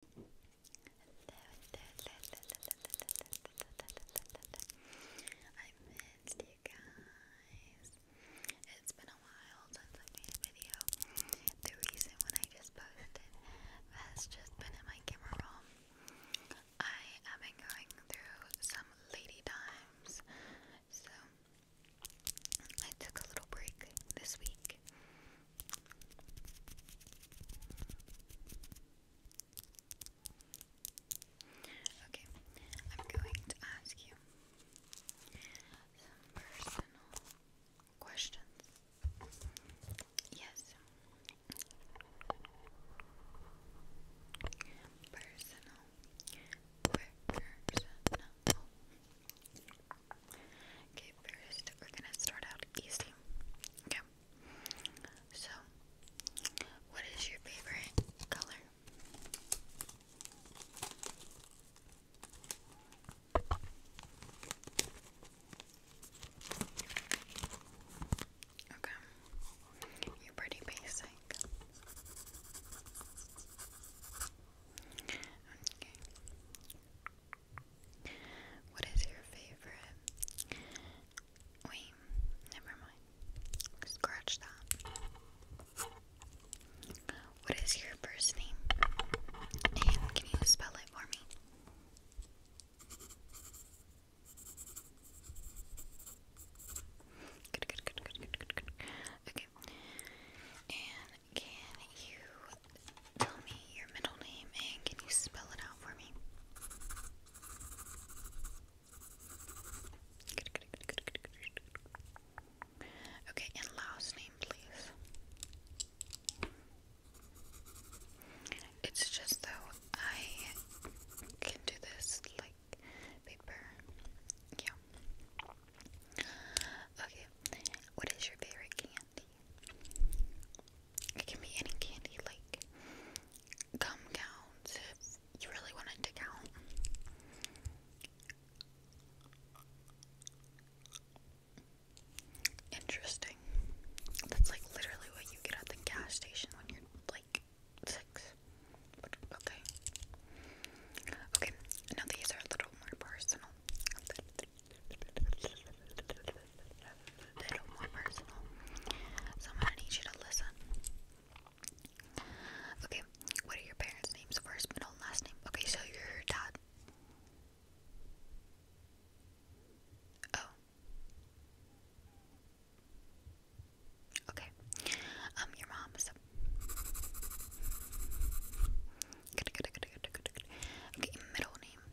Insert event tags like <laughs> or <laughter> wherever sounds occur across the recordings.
I missed you guys. It's been a while since I made a video. The recent one I just posted has just been in my camera roll. I have been going through some lady times, so I took a little break this week. Okay, I'm going to ask you some personal questions. Yes, personal, personal, Okay, first we're gonna start out easy. Okay. So, what is your favorite color? Okay. You're pretty basic. Okay. What is your favorite? Wait, never mind. Scratch that. What is your first name? And can you spell it for me? Good, good, good, good, good, good, good. And can you tell me your middle name and can you spell it out for me? Okay, and last name, please. It's just though I can do this like paper. Yeah. Okay, what is your favorite candy? It can be any candy, like gum counts if you really want to count. Interesting. That's like literally what you get at the gas station when you're like six. okay. Okay, now these are a little more personal. A little more personal. So I'm gonna need you to listen. Okay, what are your parents' names? First, middle, and last name. Okay, so your dad. Oh. Okay. Um, your mom, so Okay, middle name.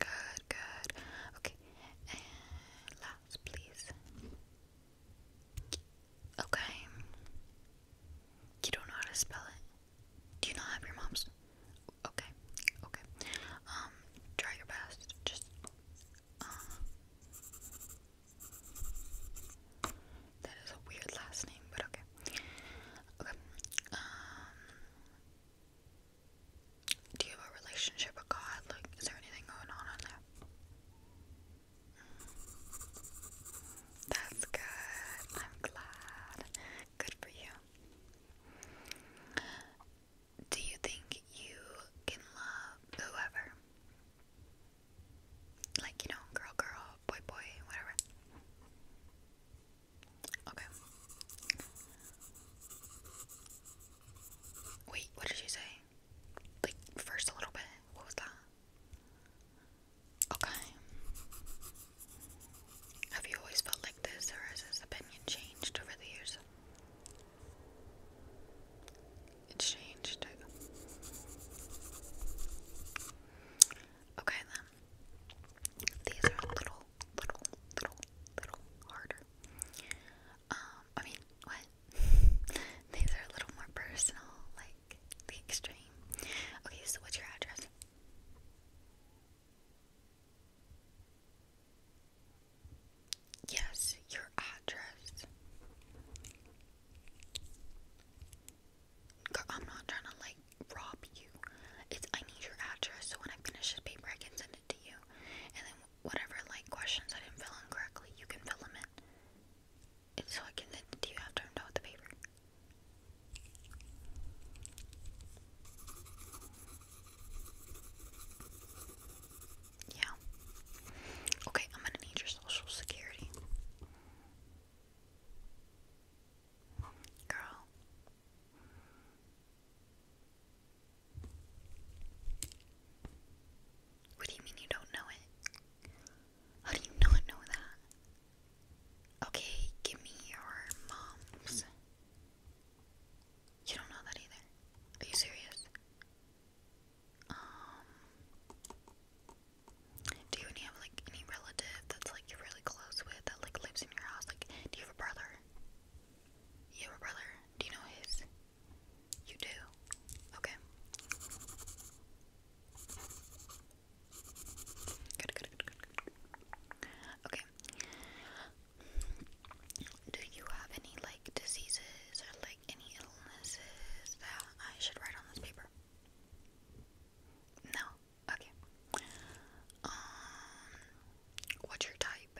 Good, good. Okay, last, please. Okay. You don't know how to spell it. Do you not have your mom's? Okay, okay. Um, try your best. Just. Uh, that is a weird last name, but okay. Okay. Um, do you have a relationship with God? Like, is there anything going on on there? That's good. I'm glad. Good for you. Do you think you can love whoever? Like, you know, girl, girl, boy, boy, whatever. Okay. Wait, what did you say? Like, first a little bit? What was that? Okay. Have you always felt like this, or has this opinion changed over the years? It's changed. Okay then. These are a little, little, little, little harder. Um, I mean, what? <laughs> These are a little more personal, like the extreme. Okay, so what's your address? Yes, your address. I'm not trying to like rob you. It's I need your address so when I finish this paper I can send it to you. And then whatever like questions I didn't fill in correctly, you can fill them in. so I can send you after I'm the paper. Yeah. Okay, I'm gonna need your social security. Girl. What do you mean you don't know it? How do you not know that? Okay, give me your mom's. You don't know that either. Are you serious? Um, do you have like any relative that's like you're really close with that like lives in your house? Like, do you have a brother? You have a brother? Do you know his? You do. Okay. good, good. Okay. Do you have any like diseases or like any illnesses that I should write on this paper? No. Okay. Um, what's your type?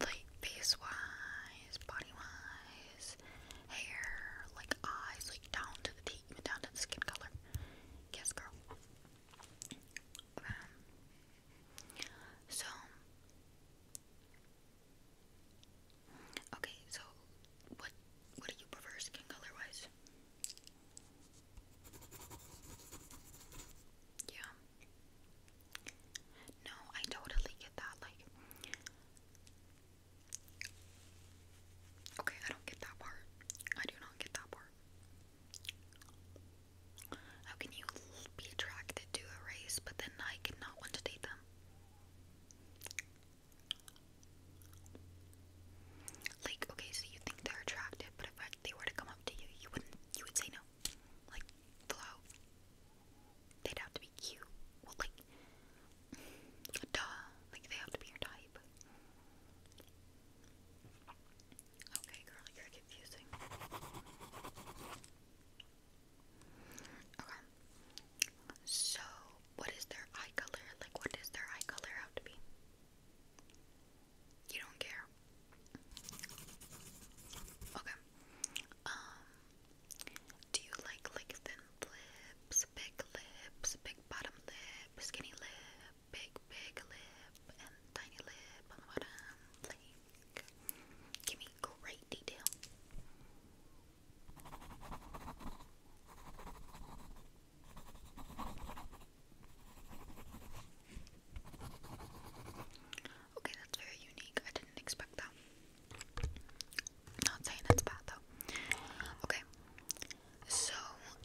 Like face wise, body wise, hair, like eyes, like down to the teeth, even down to the skin color. Yes, girl. Um, so, okay, so what what do you prefer skin color wise? Yeah. No, I totally get that. Like, okay, I don't get that part. I do not get that part. How can you be attracted to a race but then I and not want to date them? Like, okay, so you think they're attractive, but if they were to come up to you, you wouldn't, you would say no. Like, hello. They'd have to be cute. like, <laughs> duh. Like, they have to be your type. Okay, girl, you confusing. Okay. So, what is their eye color? Like, what does their eye color have to be? You don't care. Okay. Um, do you like like thin lips, big lips, big bottom lip, skinny lip, big big lip, and tiny lip on the bottom? Give me great detail. Okay, that's very unique. I didn't expect that. Not saying that's bad though. Okay. So,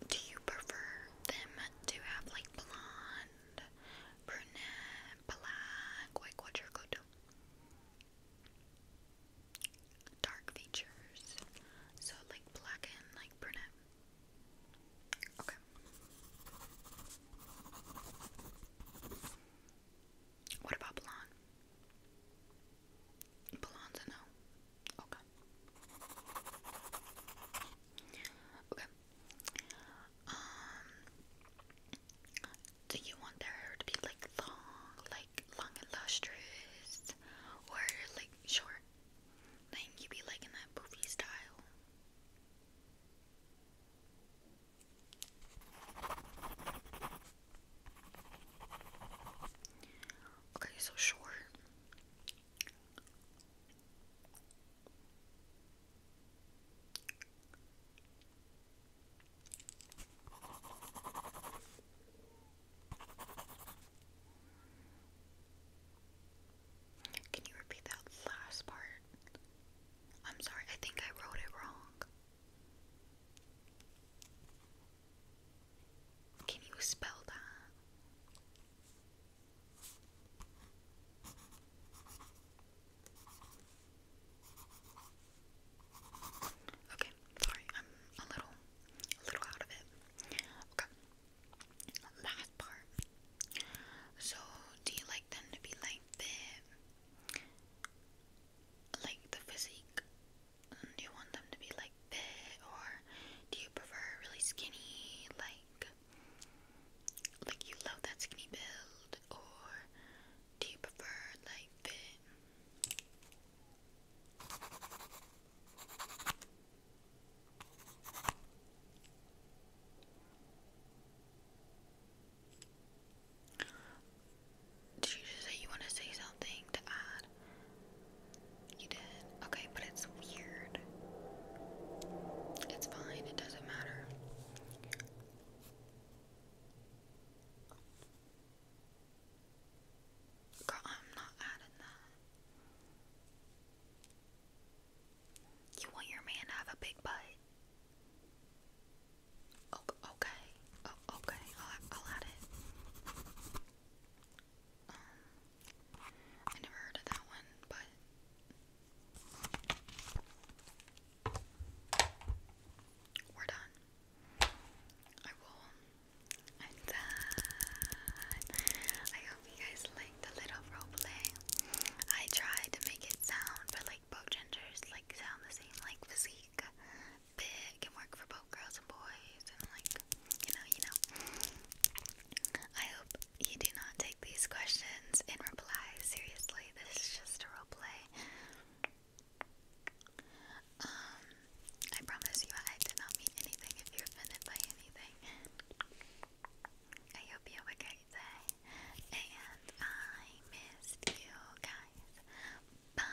do you prefer them to have like blonde blonde, brunette, black, white quadricoto. Dark features. So like black and like brunette. Okay. What about blonde? Blonde's no. Okay. Okay. Um, do you want their hair to be like long, like long and lustrous, or like short? Like you be like in that poofy style. Okay, so short. Can you repeat that last part? I'm sorry, I think I wrote it wrong. Can you spell that? Okay, sorry, I'm a little, a little out of it. Okay, last part. So, do you like them to be like big, like the physique? Do you want them to be like big, or do you prefer really skinny, like like you love that skinny build or do you prefer like the did you just say you want to say something to add? You did? Okay, but it's weird. It's fine, it doesn't matter. Girl, I'm not adding that. You want your man to have a big butt? Oh, okay. Oh, okay. I'll, I'll add it. Um, I never heard of that one, but we're I will. i I hope you guys liked the little roleplay. I tried to make it sound, but like both genders like sound the same, like physique, big, can work for both girls and boys, and like you know, you know. I hope you do not take these questions in reply seriously. This is just a role play. Um, I promise you, I did not mean anything if you're offended by anything. I hope you have a great and I missed you guys. Bye.